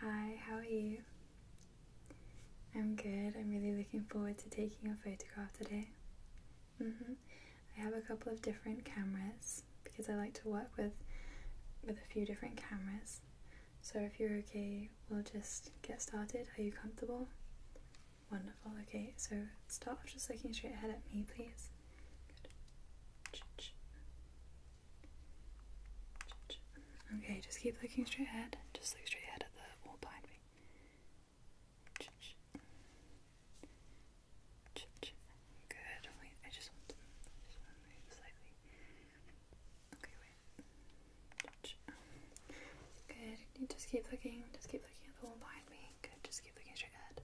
Hi, how are you? I'm good. I'm really looking forward to taking a photograph today. hmm I have a couple of different cameras because I like to work with with a few different cameras. So if you're okay, we'll just get started. Are you comfortable? Wonderful. Okay, so start just looking straight ahead at me, please. Good. Okay, just keep looking straight ahead. Just look straight ahead at the wall behind me. Good. Wait, I just want to, move slightly. Okay, wait. Good. You just keep looking. Just keep looking at the wall behind me. Good. Just keep looking straight ahead.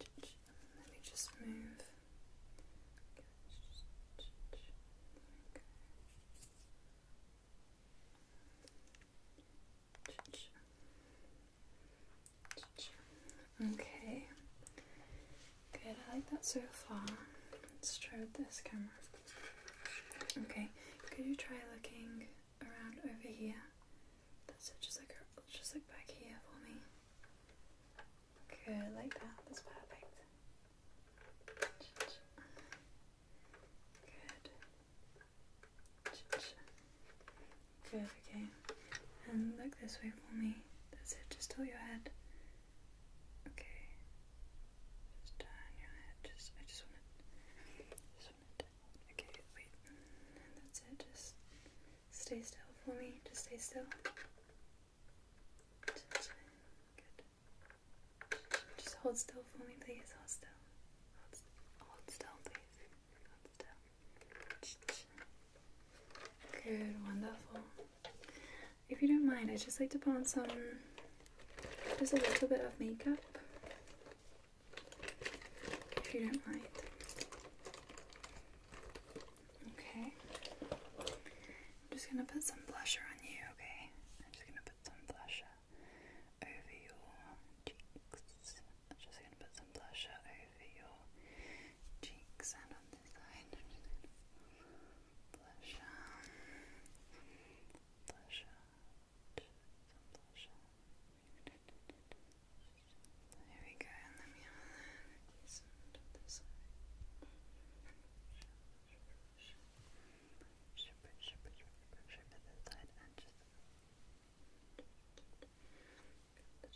Let me just move. Okay, good. I like that so far. Let's try this camera. Okay, could you try looking around over here. That's it, just look back here for me. Good, like that. That's perfect. Good. Good, okay. And look this way for me. That's it, just tilt your head. Okay. Just turn your head. Just I just want to Okay, wait. that's it. Just stay still for me. Just stay still. Good. Just hold still for me, please. Hold still. Hold, still, please. Good. Wonderful. If you don't mind, I'd just like to put on some, just a little bit of makeup if you don't mind. Okay. I'm just gonna put some blusher on you, okay? I'm just gonna put some blusher over your cheeks. I'm just gonna put some blusher over your cheeks and on this side. blusher. Blusher. blusher. There we go, and then we have the side. Ship it, ship it, ship side and just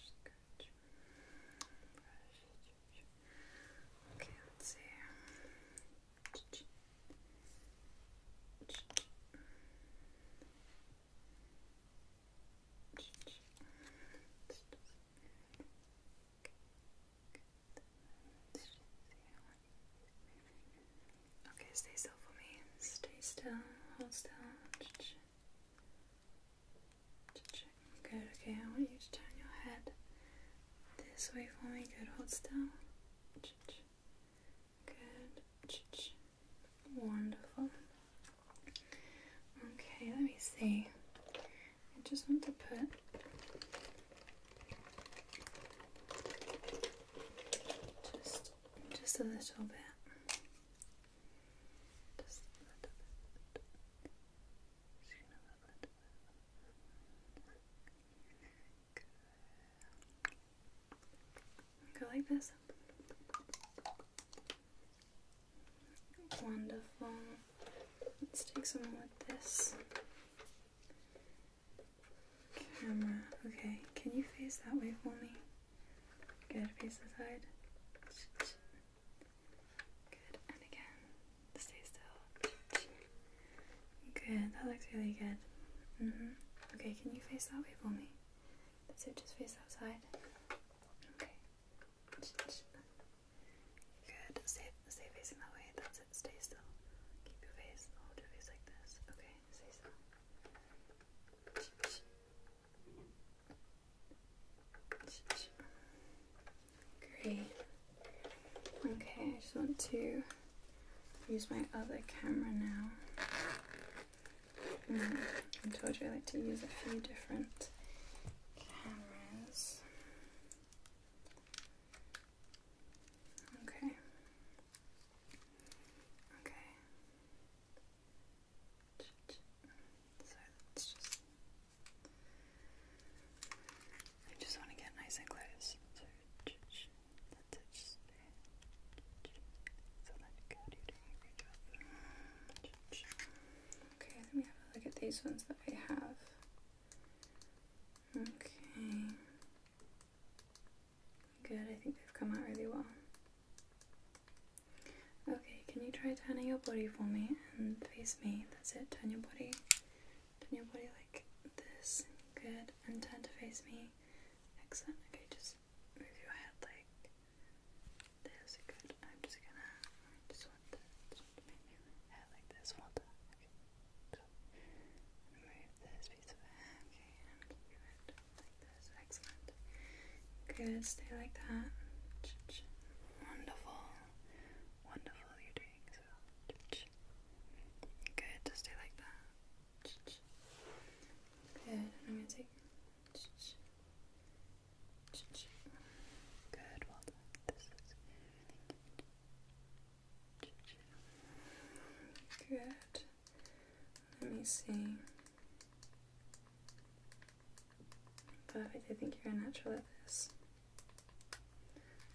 scratch. Okay, let's see. Okay, stay still for me. Stay still, hold still. Good, okay, I want you to turn your head this way for me. Good, hold still. Good. Wonderful. Okay, let me see. I just want to put just Just a little bit. Just a little bit. Go like this. Wonderful. Let's take someone with this camera. Okay, can you face that way for me? Good, face the side. Good, and again. Stay still. Good, that looks really good. Mm-hmm. Okay, can you face that way for me? That's it, just face that side. Okay. Good, stay, stay facing that way. That's it, stay still. Keep your face, hold your face like this. Okay, stay still. Great. Okay, I just want to use my other camera now. Mm, I told you I like to use a few different cameras. Okay. Okay. So let's just I just want to get nice and close. Okay, let me have a look at these ones that I have. Okay. Good, I think they've come out really well. Okay, can you try turning your body for me and face me? That's it, turn your body. Turn your body like this. Good. Intend to face me. Excellent. Okay, just move your head like this. Good. I'm just gonna just want to, move your head like this. Want to? Okay. Move this piece of hair. Okay, and like this. Excellent. Good. Stay like that. Wonderful. Wonderful. You're doing so. Good, just stay like that. Good, I'm going to take. Good, well done. This is really good. Let me see. Perfect, I think you're a natural at this.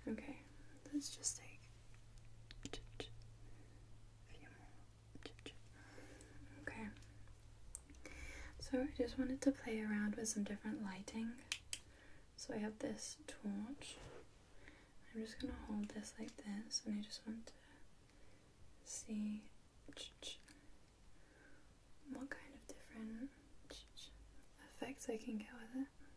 Okay, let's just take a few more. Okay. So I just wanted to play around with some different lighting. So I have this torch. I'm just gonna hold this like this and I just want to see what kind of different effects I can get with it.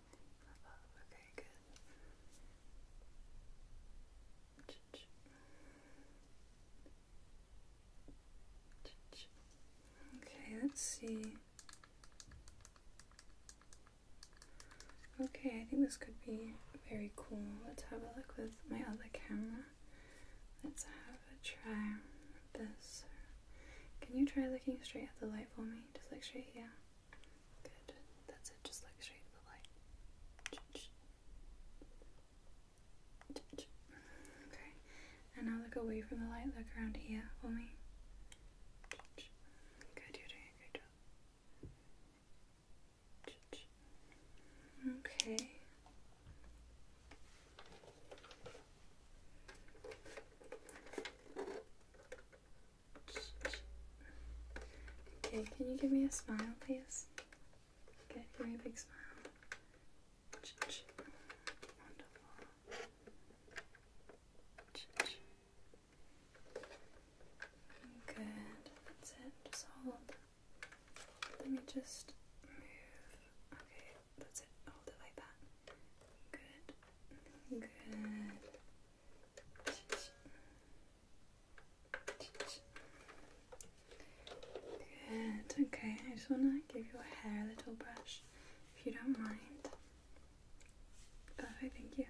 Okay, good. Okay, let's see. Okay, I think this could be very cool. Let's have a look with my other camera. Let's have a try this. Can you try looking straight at the light for me? Just look straight here. Good. That's it. Just look straight at the light. Okay. And now look away from the light. Look around here for me. Good. You're doing a great job. Okay. Okay, can you give me a smile, please? Okay, very big smile. Wonderful. Good. That's it. Just hold. Let me just move. Okay, that's it, hold it like that. Good, good. Good, okay, I just want to give your hair a little brush if you don't mind. Perfect, thank you.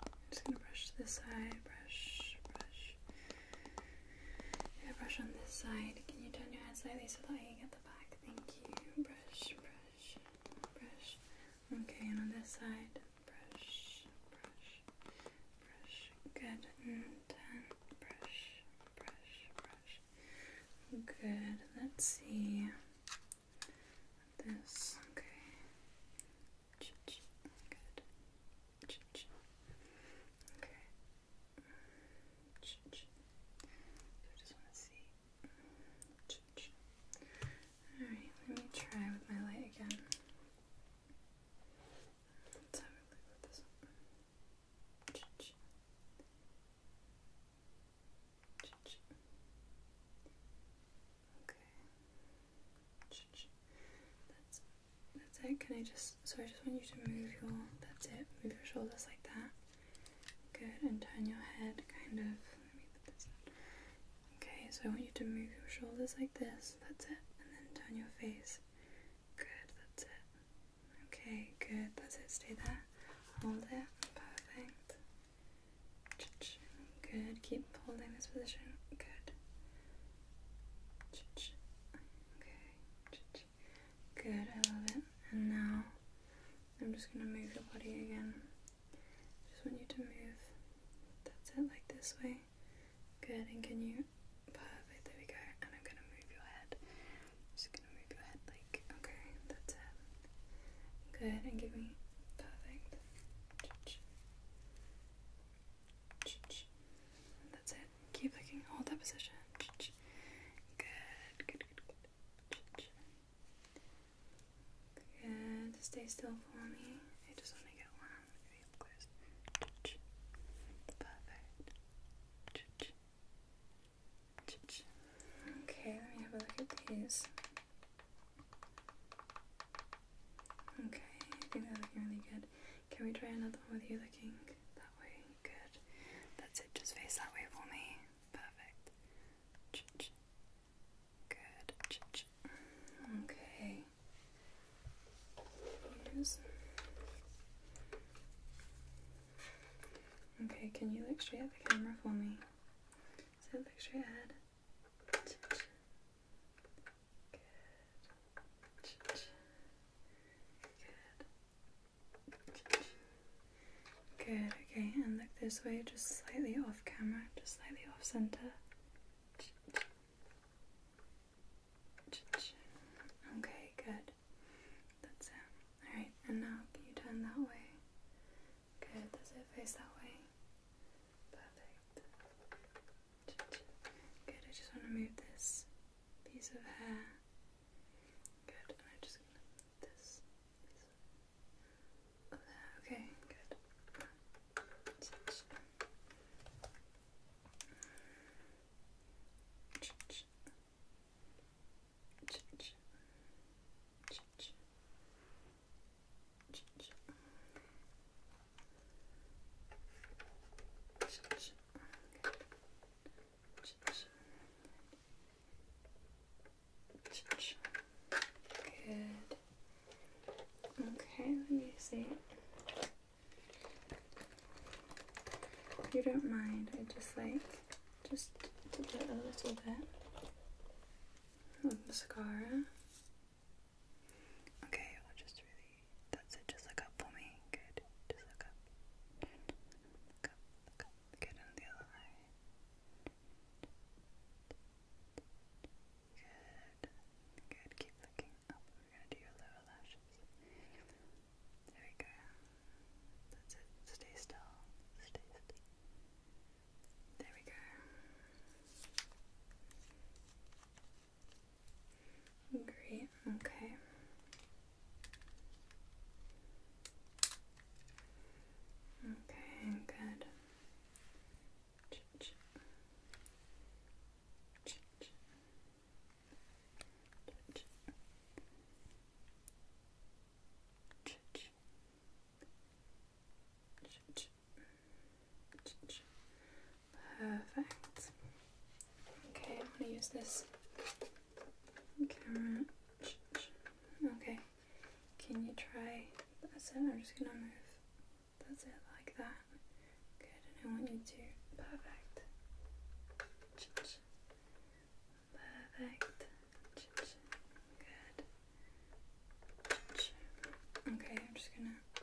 I'm just gonna brush this side, brush, brush. Yeah, brush on this side. Can you turn your head slightly so that I can get the back? Thank you. Brush, brush brush, brush. Okay, and on this side, brush, brush, brush. Good. And then brush, brush, brush. Good. Let's see this. Okay. Ch -ch. Good. Ch -ch. Okay let me try with my light again. Okay. That's it. Can I just Sorry. I just want you to move your that's it. Move your shoulders like that. Good, and turn your head kind of. Okay, so I want you to move your shoulders like this. That's it. And then turn your face. Good, that's it. Okay, good. That's it. Stay there. Hold it. Perfect. Good. Keep holding this position. Good. Okay. Good, I love it. And now I'm just going to move your body again. Just want you to move. That's it, like this way. Good, and can you? Perfect, there we go. And I'm going to move your head. just going to move your head like, okay, that's it. Good, and give me. Perfect. that's it. Keep looking. Hold that position. good, good, good. Okay, let me have a look at these. Okay, I think they're looking really good. Can we try another one with you looking that way? Good. That's it. Just face that way for me. Perfect. Good. Okay. Okay, can you look straight at the camera for me? So look straight ahead. Ch -ch. Good. Good. Good, okay, and look this way, just slightly off camera, just slightly off center. Okay, good. That's it. Alright, and now can you turn that way? Good, does it face that way? Perfect. Good, I just want to move this piece of hair Good, I'm just gonna move this, Okay, Good. Okay, let me see. If you don't mind, I just like just a little bit of mascara. Okay, we'll just really that's it, just look up for me. Good. Just look up. Look up, look up. Good on the other eye. Good. Good. Keep looking up. We're gonna do your lower lashes. There we go. That's it. Stay still. Stay still. There we go. Great, okay. Okay, good. Perfect. Okay, I'm going to use this camera. Okay, can you try? That's it. I'm just going to move. That's it, like that. Good, and I want you to. Perfect. Perfect. Good. Okay, I'm just going to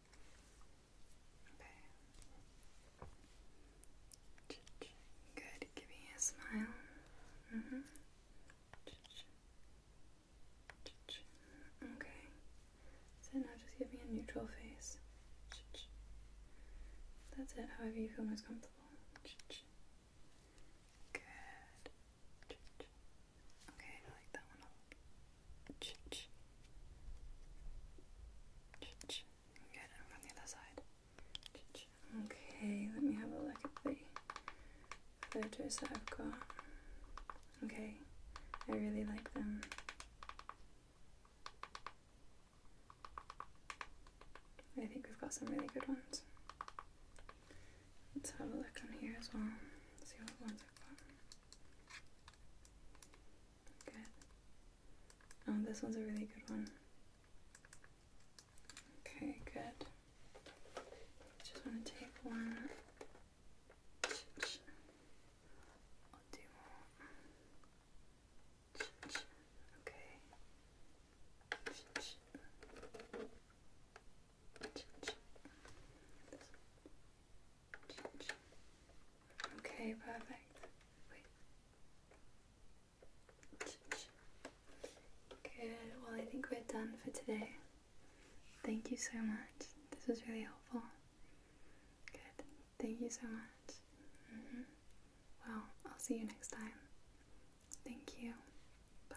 Okay. Good. Give me a smile. Mm-hmm. Okay. So now just give me a neutral face. That's it, however you feel most comfortable. Good. Okay, Ch Okay, let me have a look at the photos that I've got. Okay, I really like them. I think we've got some really good ones. Let's have a look on here as well. See what ones I've got. Good. Oh, this one's a really good one. Okay, good. Just want to take one. I'll do more. Okay. Okay, perfect. Good. Well, I think we're done for today. Thank you so much. This was really helpful. Good. Thank you so much. Mm-hmm. Well, I'll see you next time. Thank you. Bye.